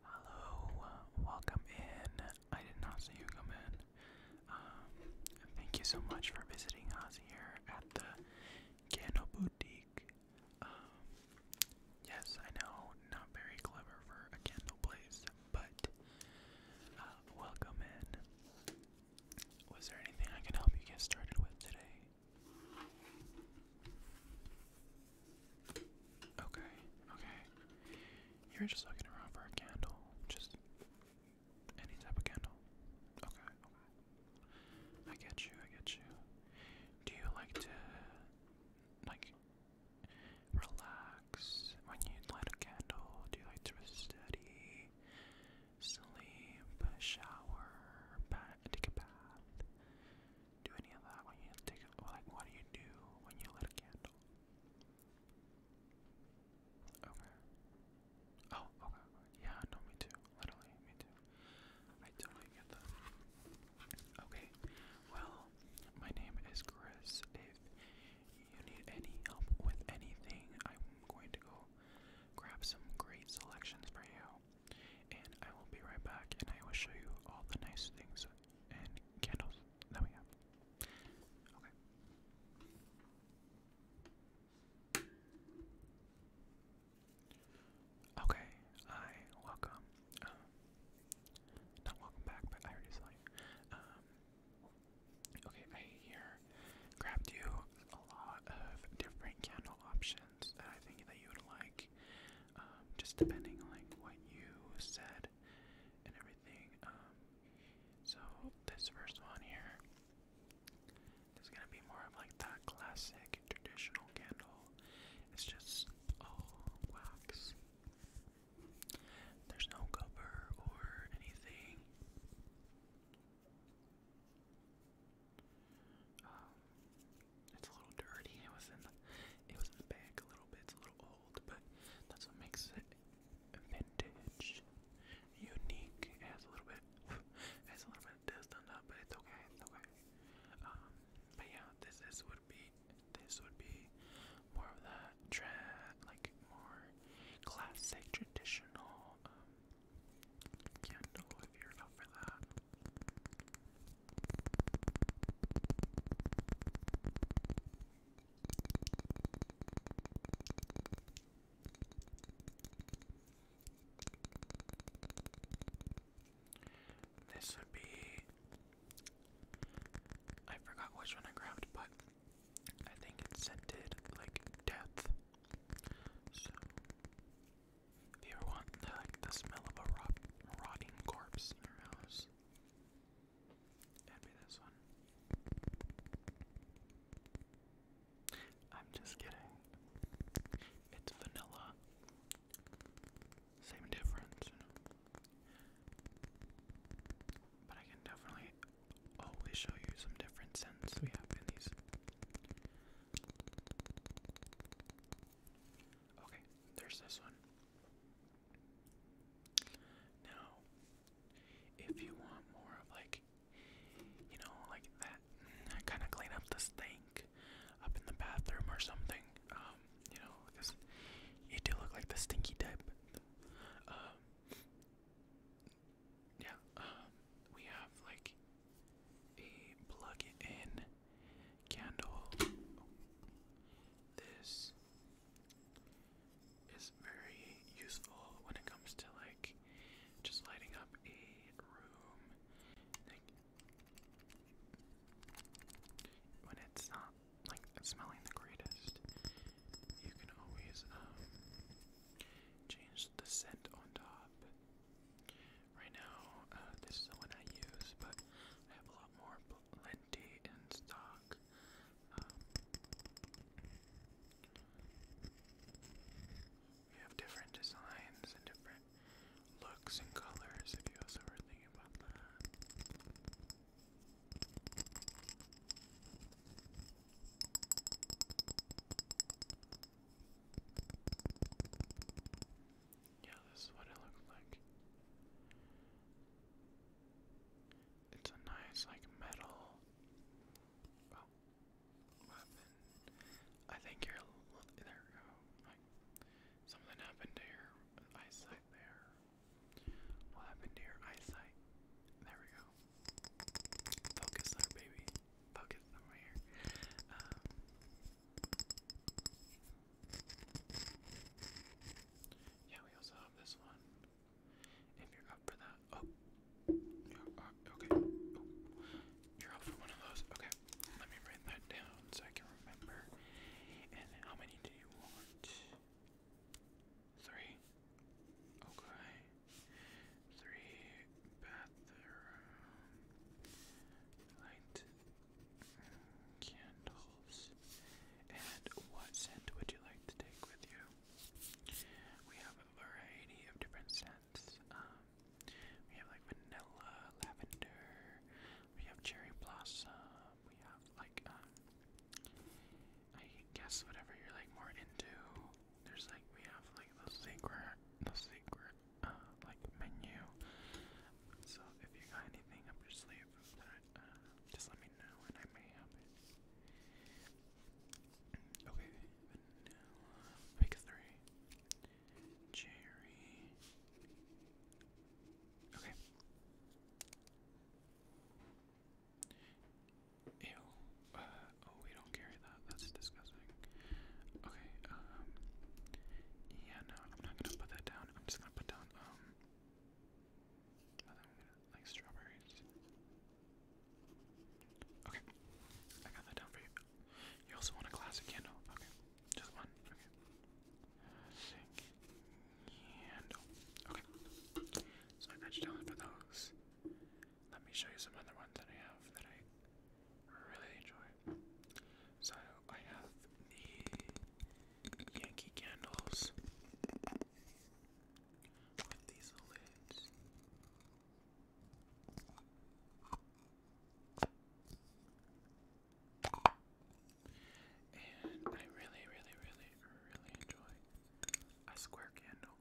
Hello, welcome in. I did not see you come in. Um, thank you so much for visiting us here at the Candle Boutique. Um, yes, I know, not very clever for a candle place, but uh, welcome in. Was there anything I can help you get started with today? Okay, okay. You're just looking around for a candle. Just any type of candle. Okay, okay. I get you, I get you. Do you like to like relax when you light a candle? Do you like to study, sleep, shower, take a bath? do any of that when you take a like what do you do when you lit a candle? Okay. Oh, okay. Yeah, no, me too. Literally, me too. I totally get that. Okay. Well, my name is Chris. If you need any help with anything, I'm going to go grab some great selections for you. And I will be right back and I will show you all the nice things candles that we have. Okay. Okay, I welcome. Um, not welcome back, but I already saw you. Um, okay, I here grabbed you a lot of different candle options that I think that you would like. Um, just depending on like what you said and everything. Um, so this first one here is gonna be more of like that classic traditional candle. It's just all wax. There's no cover or anything. Um, it's a little dirty. It was in the, it was in the bag a little bit. It's a little old, but that's what makes it vintage, unique. It has a little bit, it has a little bit of dust on it, but it's okay. It's okay. Um, but yeah, this this would be this would be more of that trad like more classic traditional candle um, if you're up for that. This would be. I forgot which one I grabbed, but I think it scented like death. So, if you ever want like, the smell of a rot rotting corpse in your this one. I'm just kidding. It's vanilla. Same difference, you know. But I can definitely always show you some different scents we have in these. Okay, there's this one. Now, if you want more of like, you know, like that, kind of clean up the stink up in the bathroom or something, um, you know, because you do look like the stinky type. Um, yeah, um, we have like a plug-in candle. This is very useful when it comes to like just lighting up a room. Like, when it's not like smelling the greatest, you can always um, change the scent on top. Right now, uh, this is the one I use, but I have a lot more plenty in stock. Um, we have different designs and different looks and colors if you also were thinking about that. Yeah, this is what it looks like. It's a nice, like, metal well, weapon. I think you there. go. something happened to your eyesight. There. What happened to your eyesight? There we go. Focus there, baby. Focus somewhere. Um, yeah, we also have this one. If you're up for that, oh, you're up, okay. You're up for one of those. Okay, let me write that down so I can remember. And how many do you want? Three. Okay. Three bathroom light candles. And what scent would you like to take with you? We have a variety of different scents. Um, we have like vanilla, lavender, we have cherry blossom, we have like, um, I guess whatever you're like more into. There's like, we have like the secret, the secret, uh, like menu. So if you got anything up your sleeve, just let me know and I may have Okay, vanilla, pick three, cherry. Okay. Ew. Uh, oh, we don't carry that. That's disgusting. Okay, um, Yeah, no, I'm not gonna put that down. I'm just gonna put down, um, like strawberries. Okay, I got that down for you. You also want a classic candle. Okay, just one. Okay. candle. Okay. So I got you down for those. Let me show you some other ones that I have that I really enjoy. So I have the Yankee candles with these lids. And I really, really, really, really enjoy a square candle.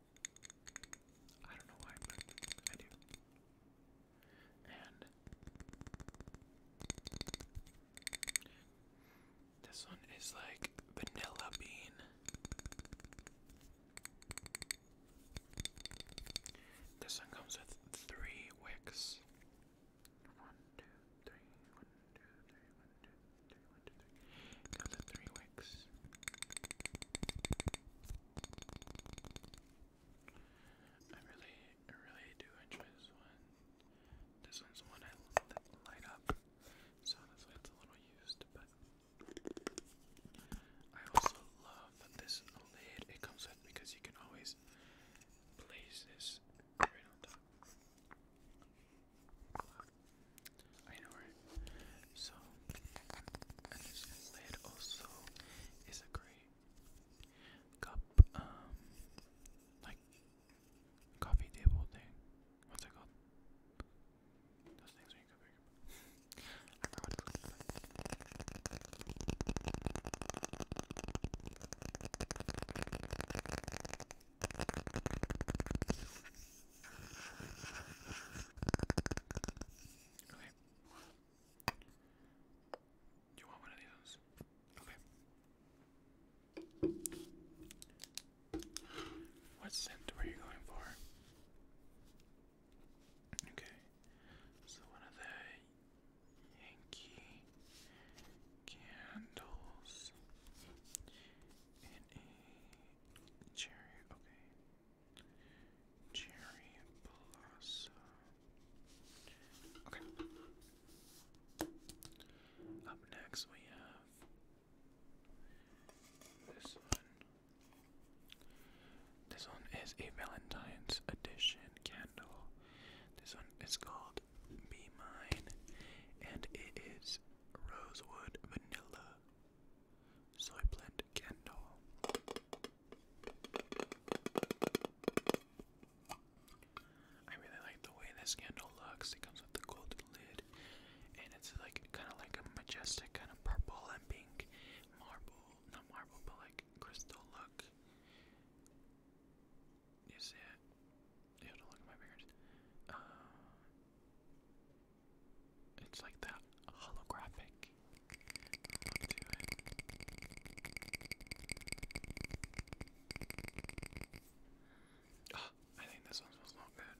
I don't know why, but I do. And this one is like vanilla bean. This one comes with three wicks. One, two, three, one, two, three, one, two, three, one, two, three. Comes with three wicks. I really, really do enjoy this one. This one's the one I that light up, so that's why it's a little used. But I also love this lid it comes with because you can always place this right on top. I know, right? So, and this lid also is a great cup, um, like coffee table thing. What's it called? Those things when you go Okay. you want one of these? Okay. What scent were you going for? Okay, so one of the Yankee candles and a cherry, okay, cherry blossom. Okay, up next, we have this one. This one is a Valentine's Edition candle. This one is called Be Mine, and it is Rosewood Vanilla Soy Blend Candle. I really like the way this candle looks. It comes with a golden lid, and it's like kind of like a majestic kind of purple and pink marble, not marble, but like crystal look. You see it? You have look my fingers. Uh, it's like that holographic look to it. Oh, I think this one smells not good.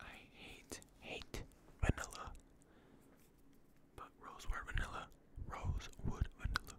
I hate, hate vanilla. But rosewood vanilla. Rosewood vanilla.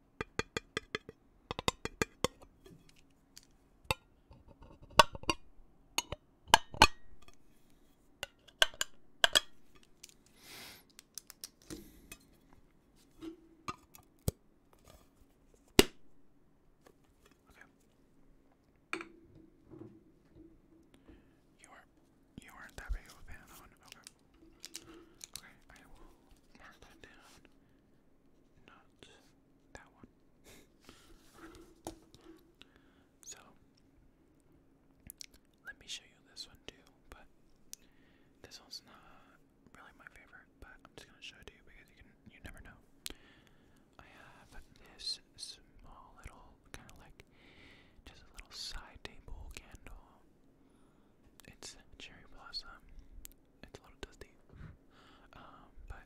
Okay. You aren't you aren't that big of a fan on. Okay. Okay, I will mark that down. Not that one. so, let me show you this one too, but this one's not really my favorite, but I'm just gonna show it to you because you can you never know. I have this small little kind of like just a little side table candle. It's cherry blossom. It's a little dusty. Um, but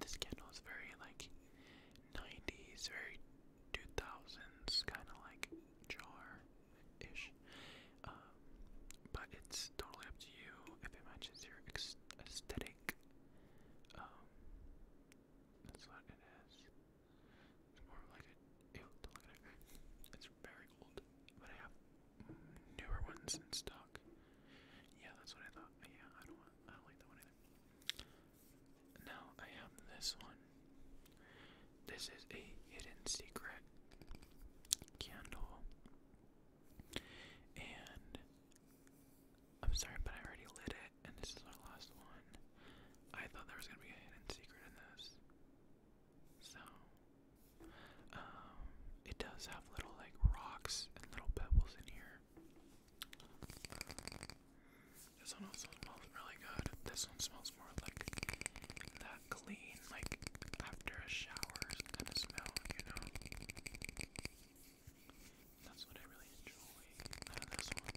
this candle is very like 90s, very 2000s, kind of like jar ish. Um, but it's totally up to you if it matches your aesthetic. Um, that's what it is. It's more like a, ew, don't look at it. It's very old, but I have newer ones in stock. Yeah, that's what I thought. Yeah, I don't I don't like that one either. Now I have this one. This is a hidden secret candle. And I'm sorry, but I already lit it, and this is our last one. I thought there was gonna be a hidden secret in this. So, um, it does have little like rocks and little pebbles in here. This one also smells really good. This one smells more like that clean, like after a shower kind of smell, you know? That's what I really enjoy out of this one.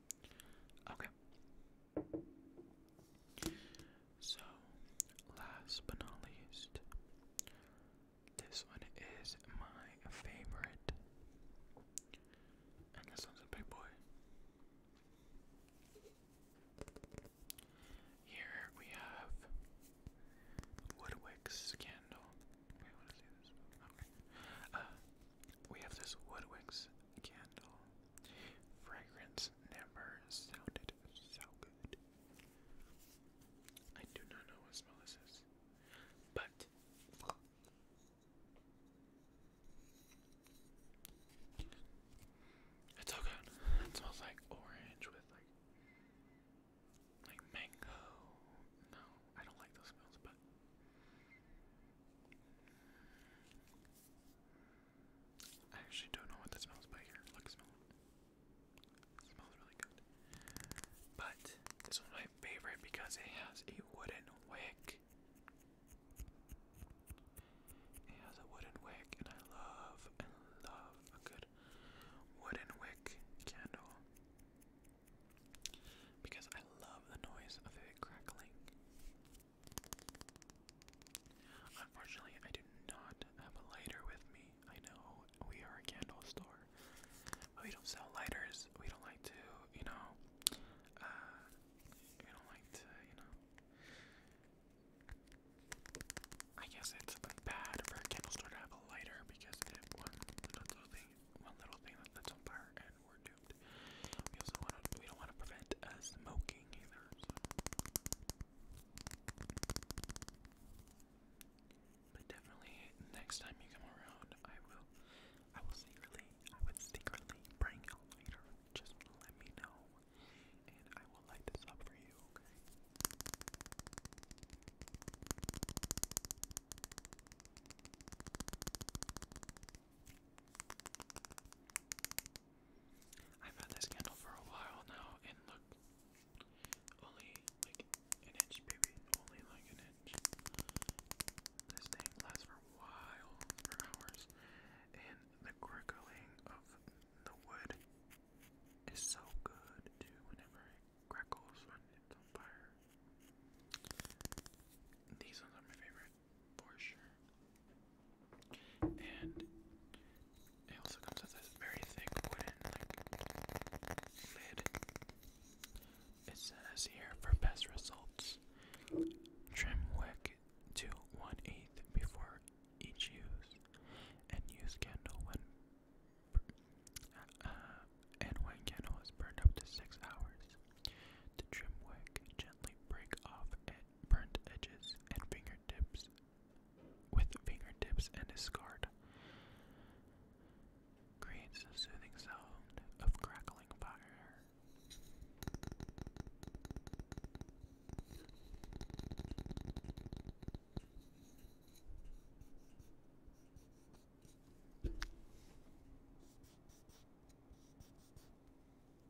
Okay. So, last but not least, this one is my favorite. And this one's a big boy. Here we have Woodwick's candle. Okay. Uh, we have this Woodwick's candle. Fragrance never sounded so good. I do not know what smell this is, but it's so good. It smells like orange with like like mango. No, I don't like those smells, but I actually don't know what that smells like here. Look, smell it. Smells really good. But this my favorite because it has a wooden wick. It has a wooden wick, and I love, I love a good wooden wick candle because I love the noise of it crackling. Unfortunately, I do not have a lighter with me. I know we are a candle store, we don't sell lighters. We don't like to, you know, uh, we don't like to, you know. I guess it's bad for a candle store to have a lighter because one little thing, one little thing that lights on fire, and we're duped. We also want to, we don't want to prevent uh, smoking either. But definitely, next time you come around, I will, I will secretly, I would secretly bring a lighter. Just let me know, and I will light this up for you. I've had this candle for a while now, and look, only like an inch, baby, only like an inch. This thing lasts for a while, for hours, and the crackling of the wood is so good Whenever it crackles when it's on fire, these ones are my favorite for sure. And it also comes with this very thick wooden like lid. It says here for best results, trim wick to one eighth before each use, and use candle when uh, and when candle is burned up to six hours. To trim wick, gently break off edge burnt edges and fingertips with fingertips and is scarred. Creates a soothing sound of crackling fire.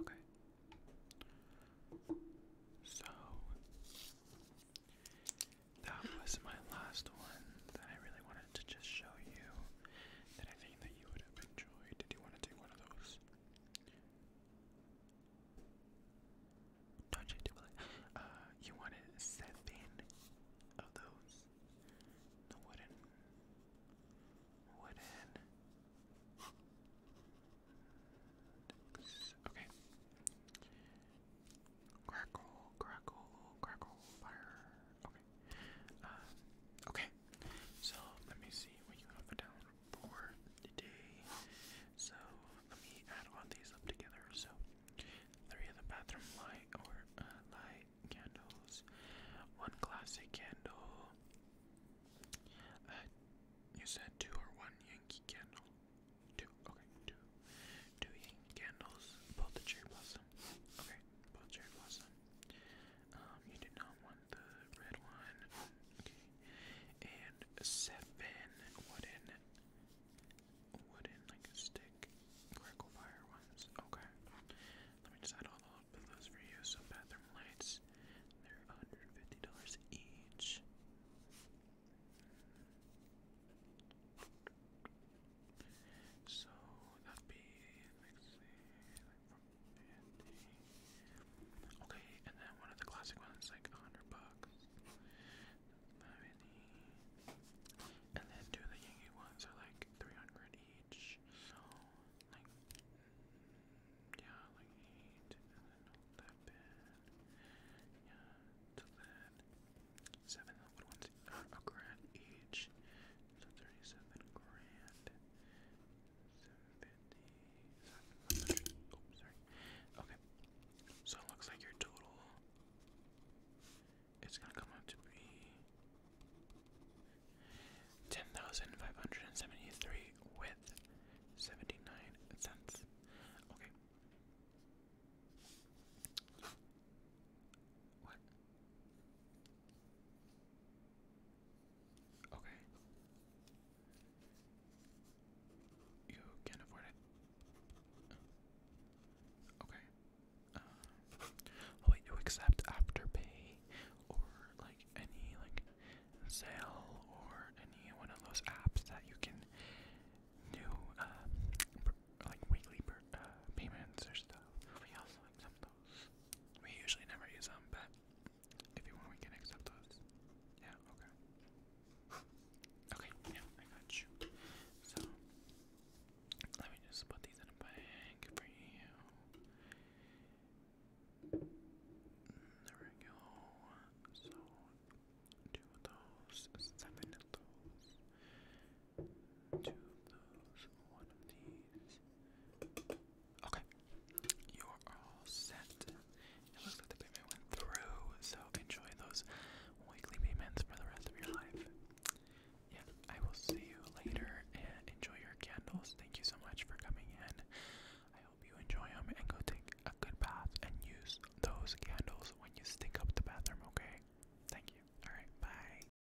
Okay. So that was my last one that I really wanted to just show you that I think that you would have enjoyed. Did you want to take one of those? Don't you do it? Uh, you wanted seven of those. The wooden, wooden. Okay. Crackle, crackle, crackle, fire. Okay. Uh, okay. So let me see what you have down for today. So let me add all these up together. So three of the bathroom light or uh, light candles, one classic candle. Uh, you said two or one Yankee candle. Two. Okay. Two. Two Yankee candles. Both the cherry blossom. Okay. Both cherry blossom. Um, you do not want the red one. Okay. And seven wooden, wooden like stick, crackle fire ones. Okay. Let me just add all those for you. So bathroom lights, they're $150 each. So that'd be Okay, and then one of the classic ones like a hundred bucks. And then two of the Yankee ones are like three hundred each. So like yeah, like eight Yeah, to that. Seven little ones a grand each. So thirty-seven grand. Seven fifty. Oh, sorry. Okay. So it looks like your total. It's gonna come out to be ten thousand five hundred and seventy-three with seventy-nine cents. Okay. What? Okay. You can afford it. Okay. Um, will you accept Afterpay or like any like sale or any one of those apps that you can do um, like weekly uh, payments or stuff? We also accept we usually never use them, but if you want, we can accept those. Yeah, okay. okay, yeah, I got you. So, let me just put these in a bag for you. There we go. So, two of those, seven of those. Okay, you are all set. It looks like the payment went through, so enjoy those weekly payments for the rest of your life. Yeah, I will see you later and enjoy your candles. Thank you so much for coming in. I hope you enjoy them and go take a good bath and use those candles when you stink up the bathroom, okay? Thank you. Alright, bye.